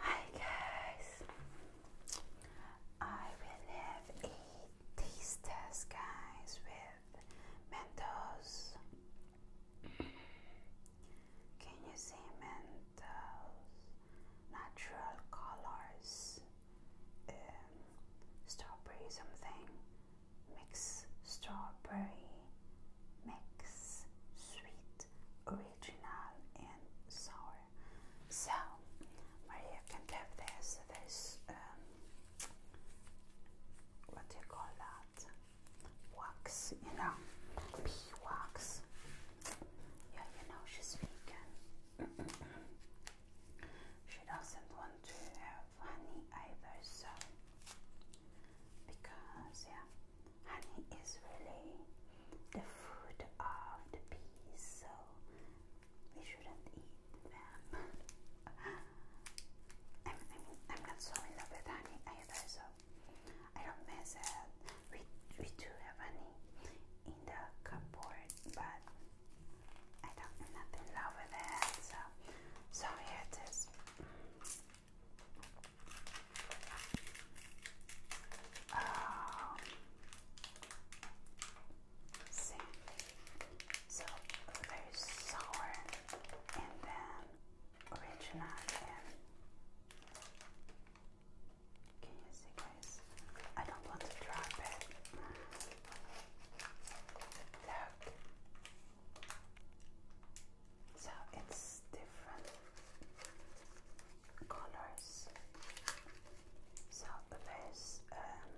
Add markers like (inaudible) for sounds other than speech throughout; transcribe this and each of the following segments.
Hi guys, I will have a taste test guys with Mentos. Can you see Mentos? Natural colors, um, strawberry something, mix strawberry, mix sweet original and sour. So Maria can have this. This um, what do you call that? Wax, you know, pea Yeah, you know she's vegan. (clears throat) she doesn't want to have honey either, so because yeah honey is really the fruit of the bees, so we shouldn't eat them. (laughs) I'm, I'm, not so in love with honey either, so I don't mess it. We, we do have honey in the cupboard, but I don't, i in love with it, so, so here it is. Um, so very sour, and then original. can you see, guys? I don't want to drop it. Look. So it's different colors. So there's um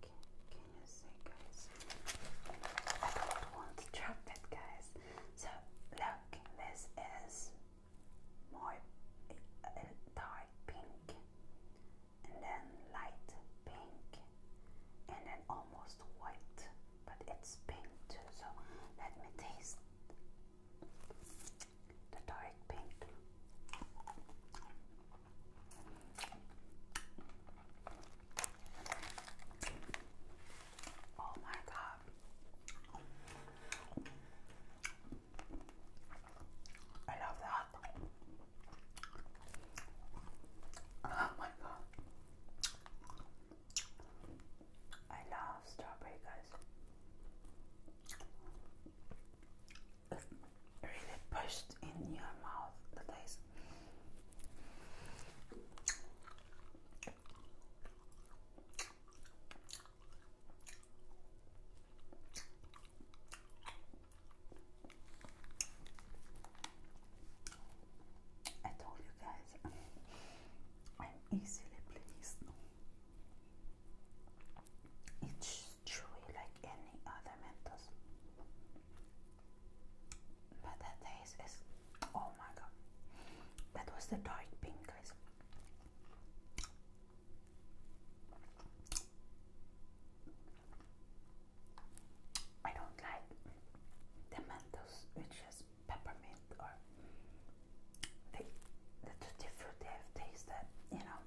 can, can you see guys? I don't want to drop it guys. So look, this is more uh, dark pink and then light pink and then almost white but it's pink too so let me taste the dark pink oh my god I love that oh my god I love strawberry, guys. really pushed in your mouth the taste. I told you guys I'm easily pleased. It's chewy like any other Mentos, but the taste is oh my god! That was the dark pink, guys. I don't like the Mentos, which is peppermint or they, the tutti frutti I've tasted, you know.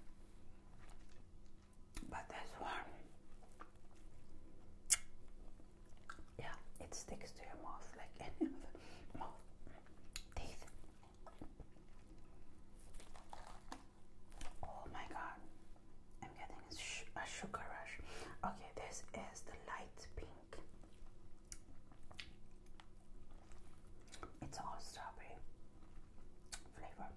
But this one, yeah, it sticks to your mouth like (laughs) any other mouth teeth. Oh my god, I'm getting a sugar rush. Okay, this is the light pink. It's all strawberry flavor.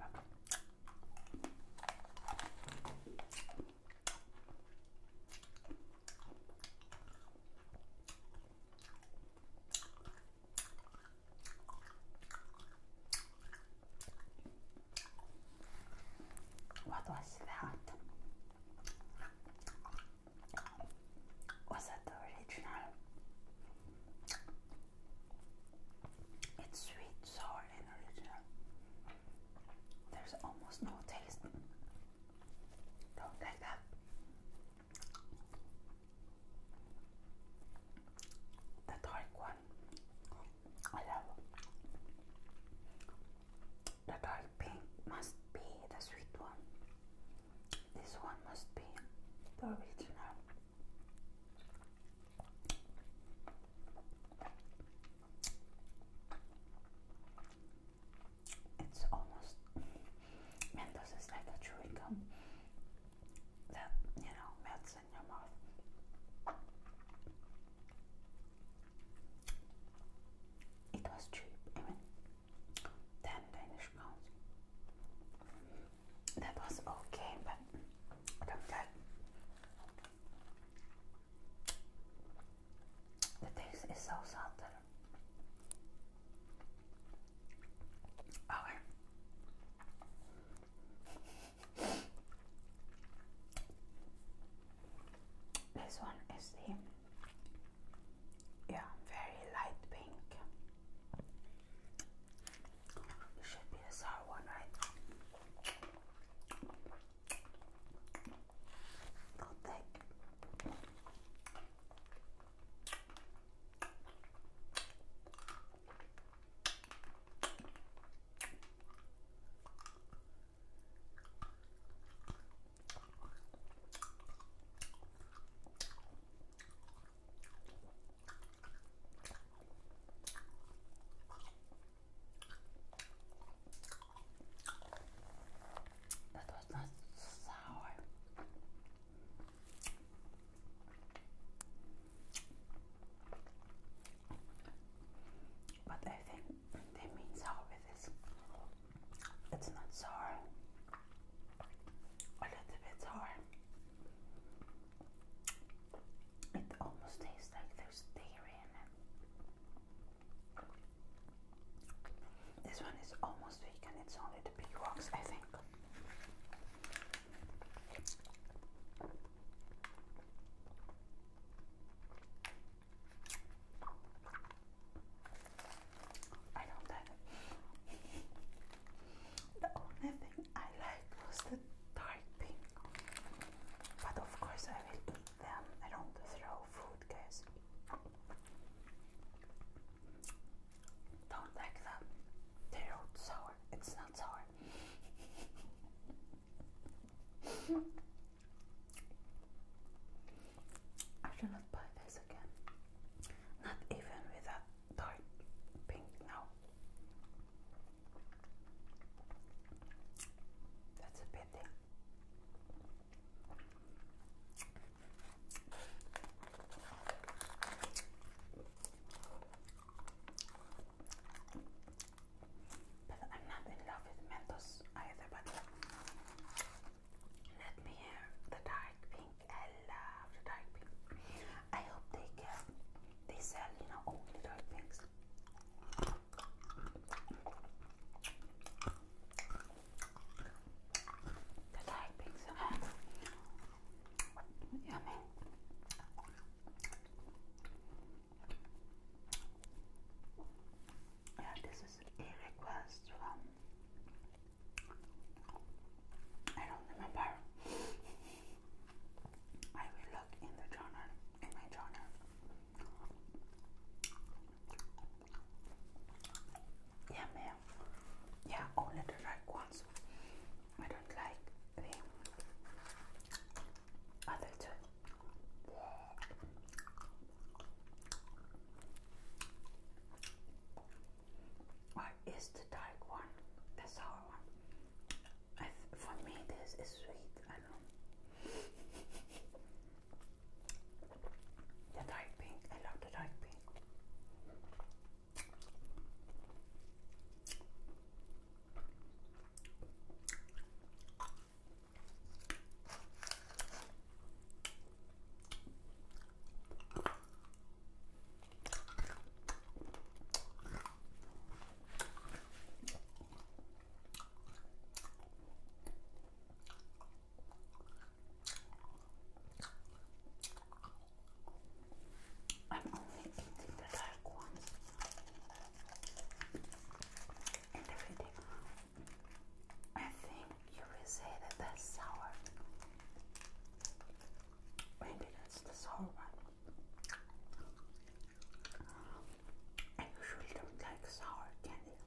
What was that? was that original? It's sweet, sour, and original. There's almost no taste. Don't like that. The dark one, I love. The dark pink must be the sweet one. This one must be the original. It's almost Mentos is like a chewing gum that you know melts in your mouth. It was cheap, even 10 Danish pounds. That was okay, but do The taste is so salty. Okay. (laughs) This one is the yeah, very light pink. It should be the sour one, right? Not that was not sour. But I think they mean sour with this. It's not sour. A little bit sour. It almost tastes like there's dairy in it. This one is almost weak, and It's only the big rocks, I think. I know that the only thing I liked was the dark pink, but of course I will eat them. I don't throw food, guys. Don't like them. They're sour. It's not sour. (laughs) I should not buy this again. Not even with that dark pink now. That's a pity. But I'm not in love with Mentos either, but let me hear the dark pink. I the dark pink. I hope they get they sell, you know, only dark pinks. The dark pinks yummy. Yeah, this is a request from I don't remember. I will look in the journal, in my journal. Yeah, ma'am. Yeah, only the right ones. I don't like the other two. I is the dark one, the sour one? I for me, this is sweet. I know. The dark pink. I love the dark pink. I'm only eating the dark ones and everything I think you will say that that's sour. Maybe that's the sour one. I usually don't like sour candy.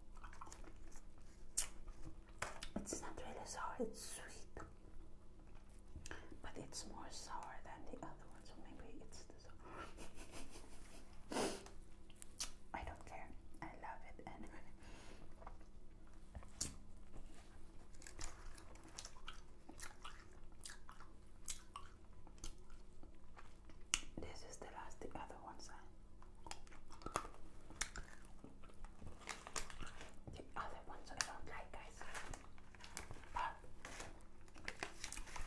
It's not really sour, it's sweet. But it's more sour than the other one, so maybe it's the sour. (laughs) I don't care. I love it anyway. This is the last, the other one side. The other ones I don't like, guys.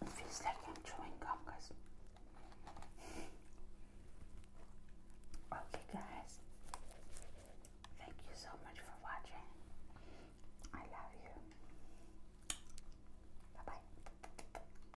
It feels like I'm chewing gum, guys. okay, guys. Thank you so much for watching. I love you. Bye bye.